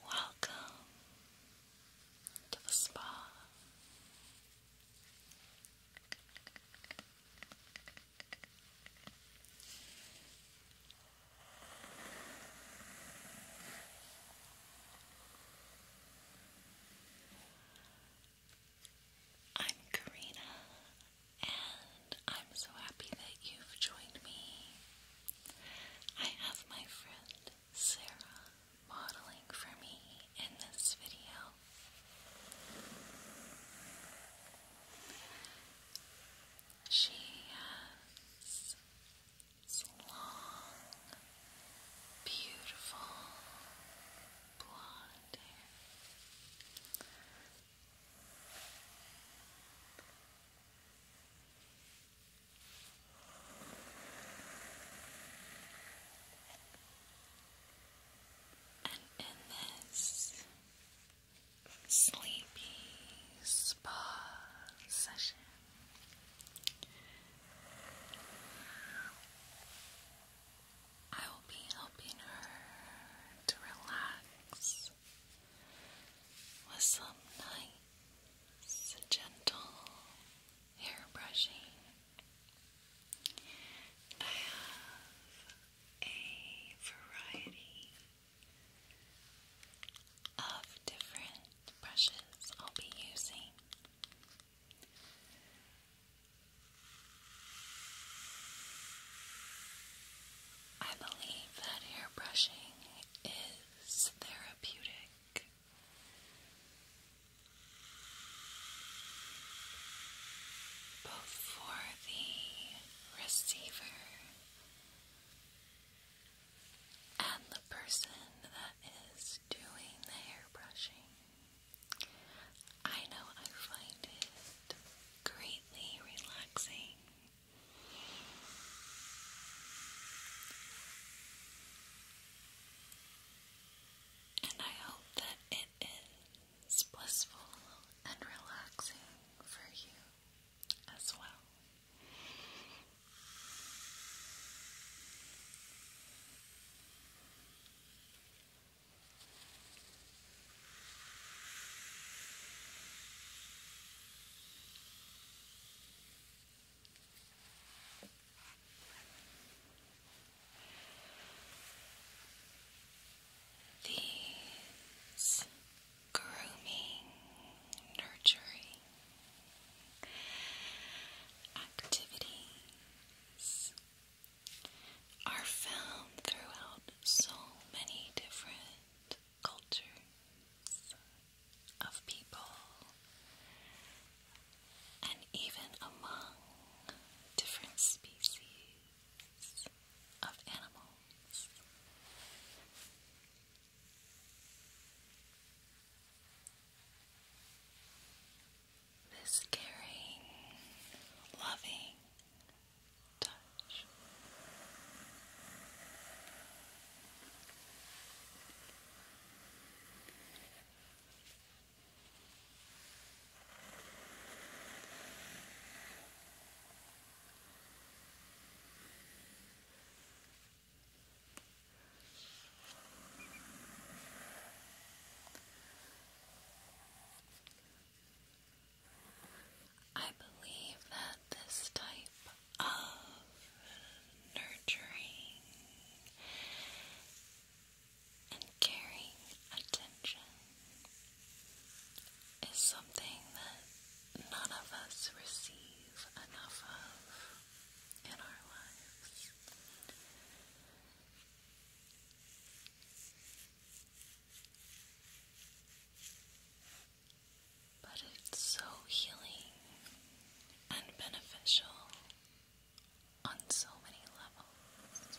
Welcome to the spa. I'm Karina, and I'm so happy that you've joined me. I have my friend Sarah modeling for me in this video. She has long, beautiful blonde hair. And in this sleepy spa session, I will be helping her to relax with some nice, gentle hair brushing. I have a variety of different brushes I'll be using. I believe that hair brushing is therapeutic before the receiver and the person that is doing the hair brushing. I know I find it greatly relaxing. And I hope that it is it's blissful and relaxing for you as well. The grooming, nurturing activities are found throughout so many different cultures of people and even among different species of animals. This caring, loving touch. I believe that this type of nurturing and caring attention is something that none of us receive enough of in our lives. But it's so healing and beneficial on so many levels.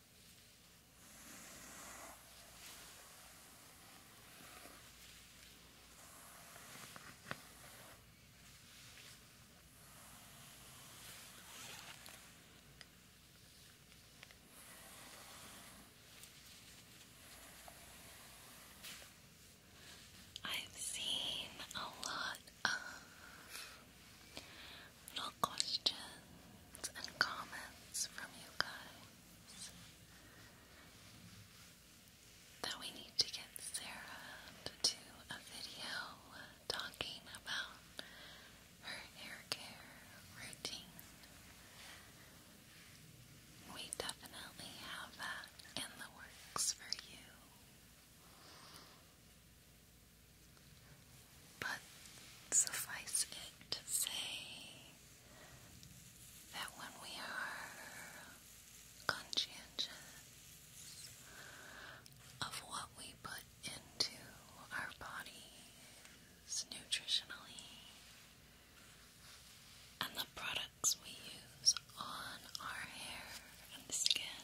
I've seen a lot of little questions and comments from you guys that we need to get Sarah to do a video talking about her hair care routine. We definitely have that in the works for you. But suffice it to say that when we are conscientious of what we put into our bodies nutritionally and the products we use on our hair and skin,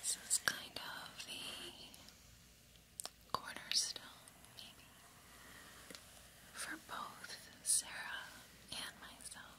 this is kind of the cornerstone, maybe, for both Sarah and myself.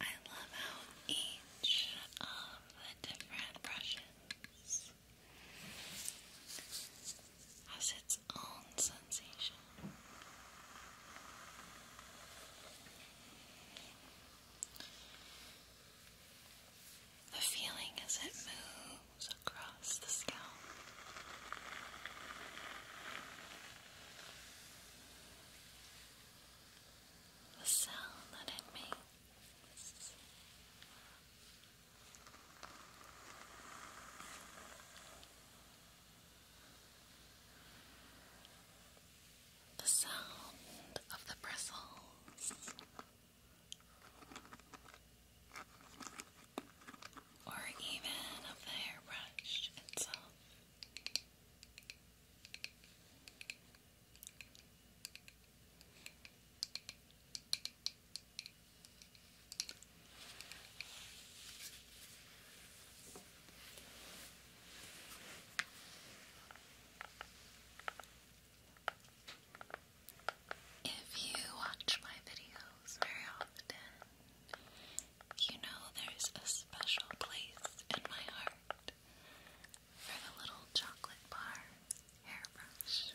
I love how each of the different brushes has its own sensation the feeling as it moves across the scalp. The sound that it makes. The sound of the bristles or even of the hairbrush itself. If you watch my videos very often, you know there's a special place in my heart for the little chocolate bar hairbrush.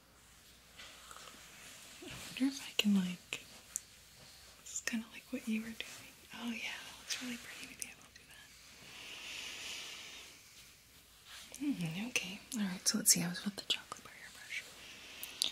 I wonder if I can like. This is kind of like what you were doing. Oh yeah, that looks really pretty. Maybe I will do that. Hmm, okay. All right. So let's see. I was with the chocolate bar airbrush.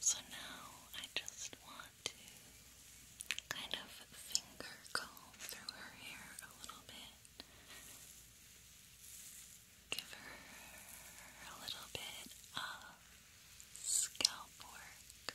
So now I just want to kind of finger comb through her hair a little bit. Give her a little bit of scalp work.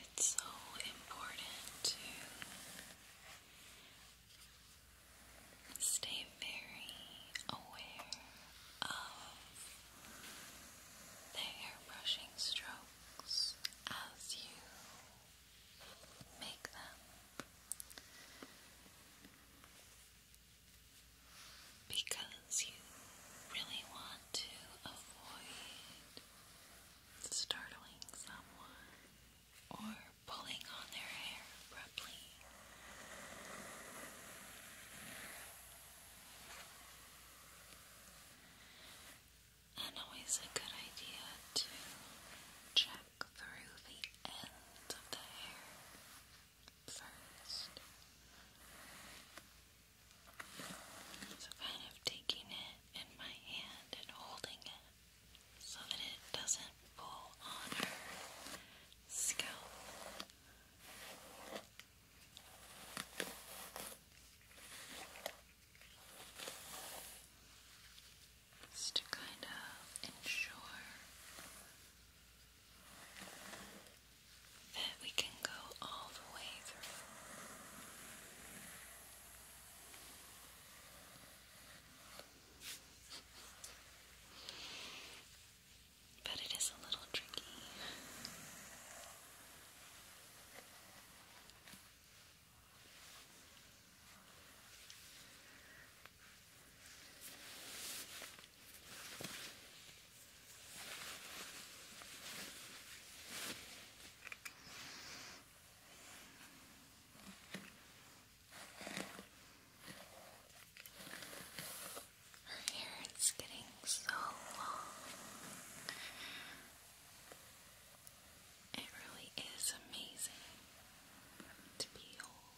It's so important to stay very aware of the airbrushing strokes as you make them because you really want to avoid startling someone or pulling on their hair abruptly. And always a good idea to check through the end of the hair first. So, kind of taking it in my hand and holding it so that it doesn't pull on her scalp. Just to kind of ensure that we can go all the way But it is a little tricky. Her hair is getting so long. It really is amazing to behold.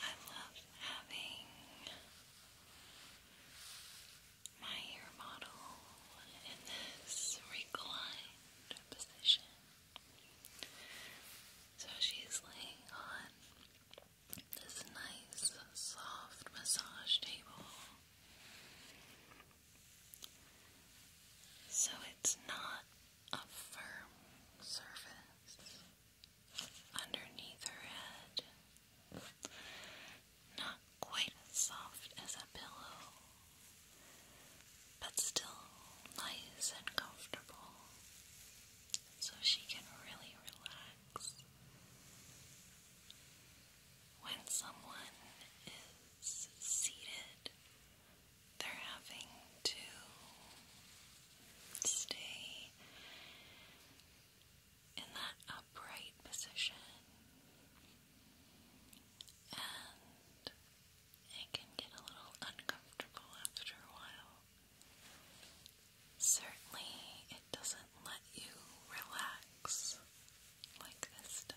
I love having my hair model in this reclined position. So she's laying on this nice, soft massage table. So it's not a firm surface underneath her head. Not quite as soft as a pillow, but still nice and comfortable, so she can really relax. When someone is seated, they're having to Stay in that upright position, and it can get a little uncomfortable after a while. Certainly, it doesn't let you relax like this does.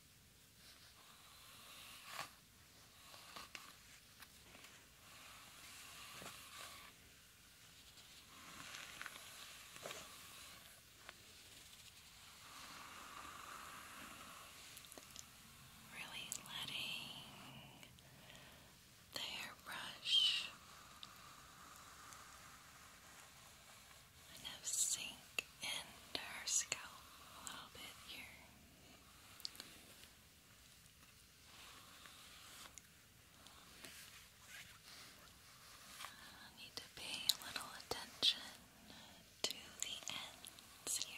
Really letting the hairbrush kind of sink into her scalp a little bit here. I need to pay a little attention to the ends here.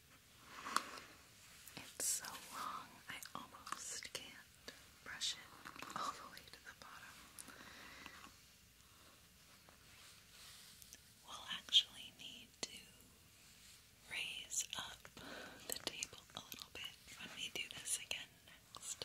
It's so long, I almost can't brush it all the way to the bottom. We'll actually need to raise up the table a little bit when we do this again next.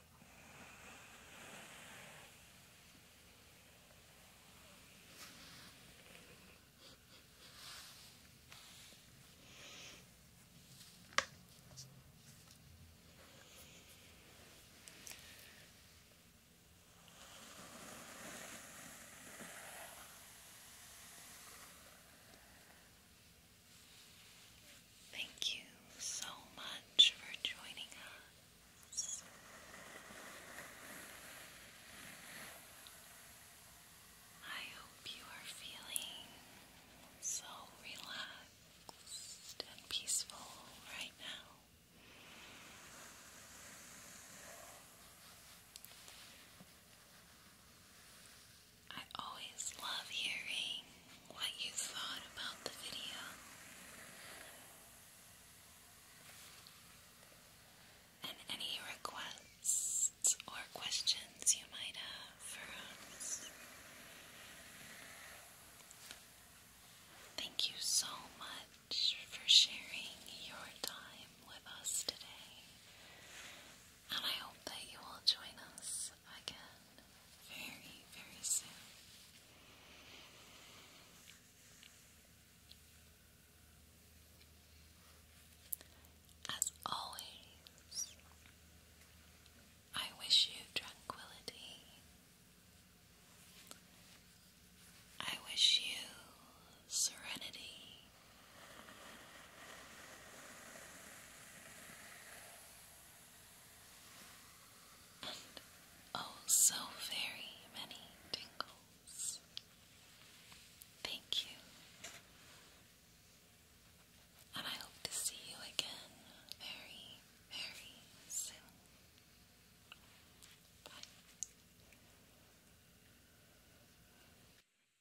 Thank you so much for joining us. I hope you are feeling so relaxed and peaceful right now. I always love hearing what you thought about the video and any requests or questions you might have for us. Thank you so much for sharing your time with us today, and I hope that you will join us again very, very soon. As always, I wish you tranquility. I wish you serenity oh, so very many tingles. Thank you, and I hope to see you again very, very soon.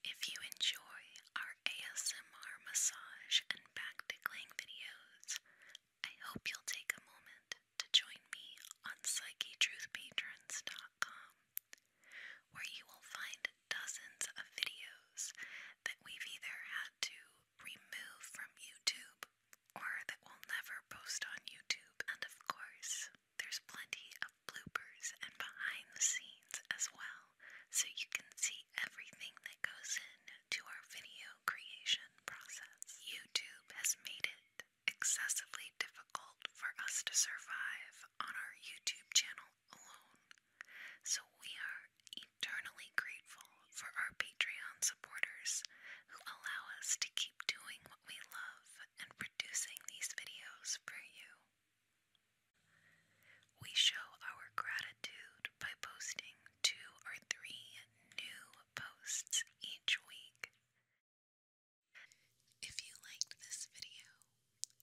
If you enjoy our ASMR massage and back tickling videos, I hope you'll take a moment to join me on PsycheTruthPatrons.com, where you will find dozens of videos that we've either had to remove from YouTube or that we'll never post on YouTube. And of course, there's plenty of bloopers and behind the scenes as well, so you can see everything that goes in to our video creation process. YouTube has made it excessively difficult for us to survive on our YouTube channel alone, so we are eternally grateful for our Patreon supporters who allow us to keep doing what we love and producing these videos for you. We show our gratitude by posting two or three new posts each week. If you liked this video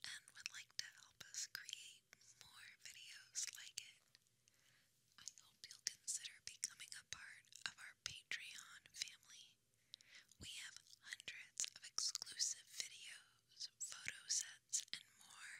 and would like to help us create more videos like it, I hope you'll consider becoming a part of our Patreon family. We have hundreds of exclusive videos, photo sets, and more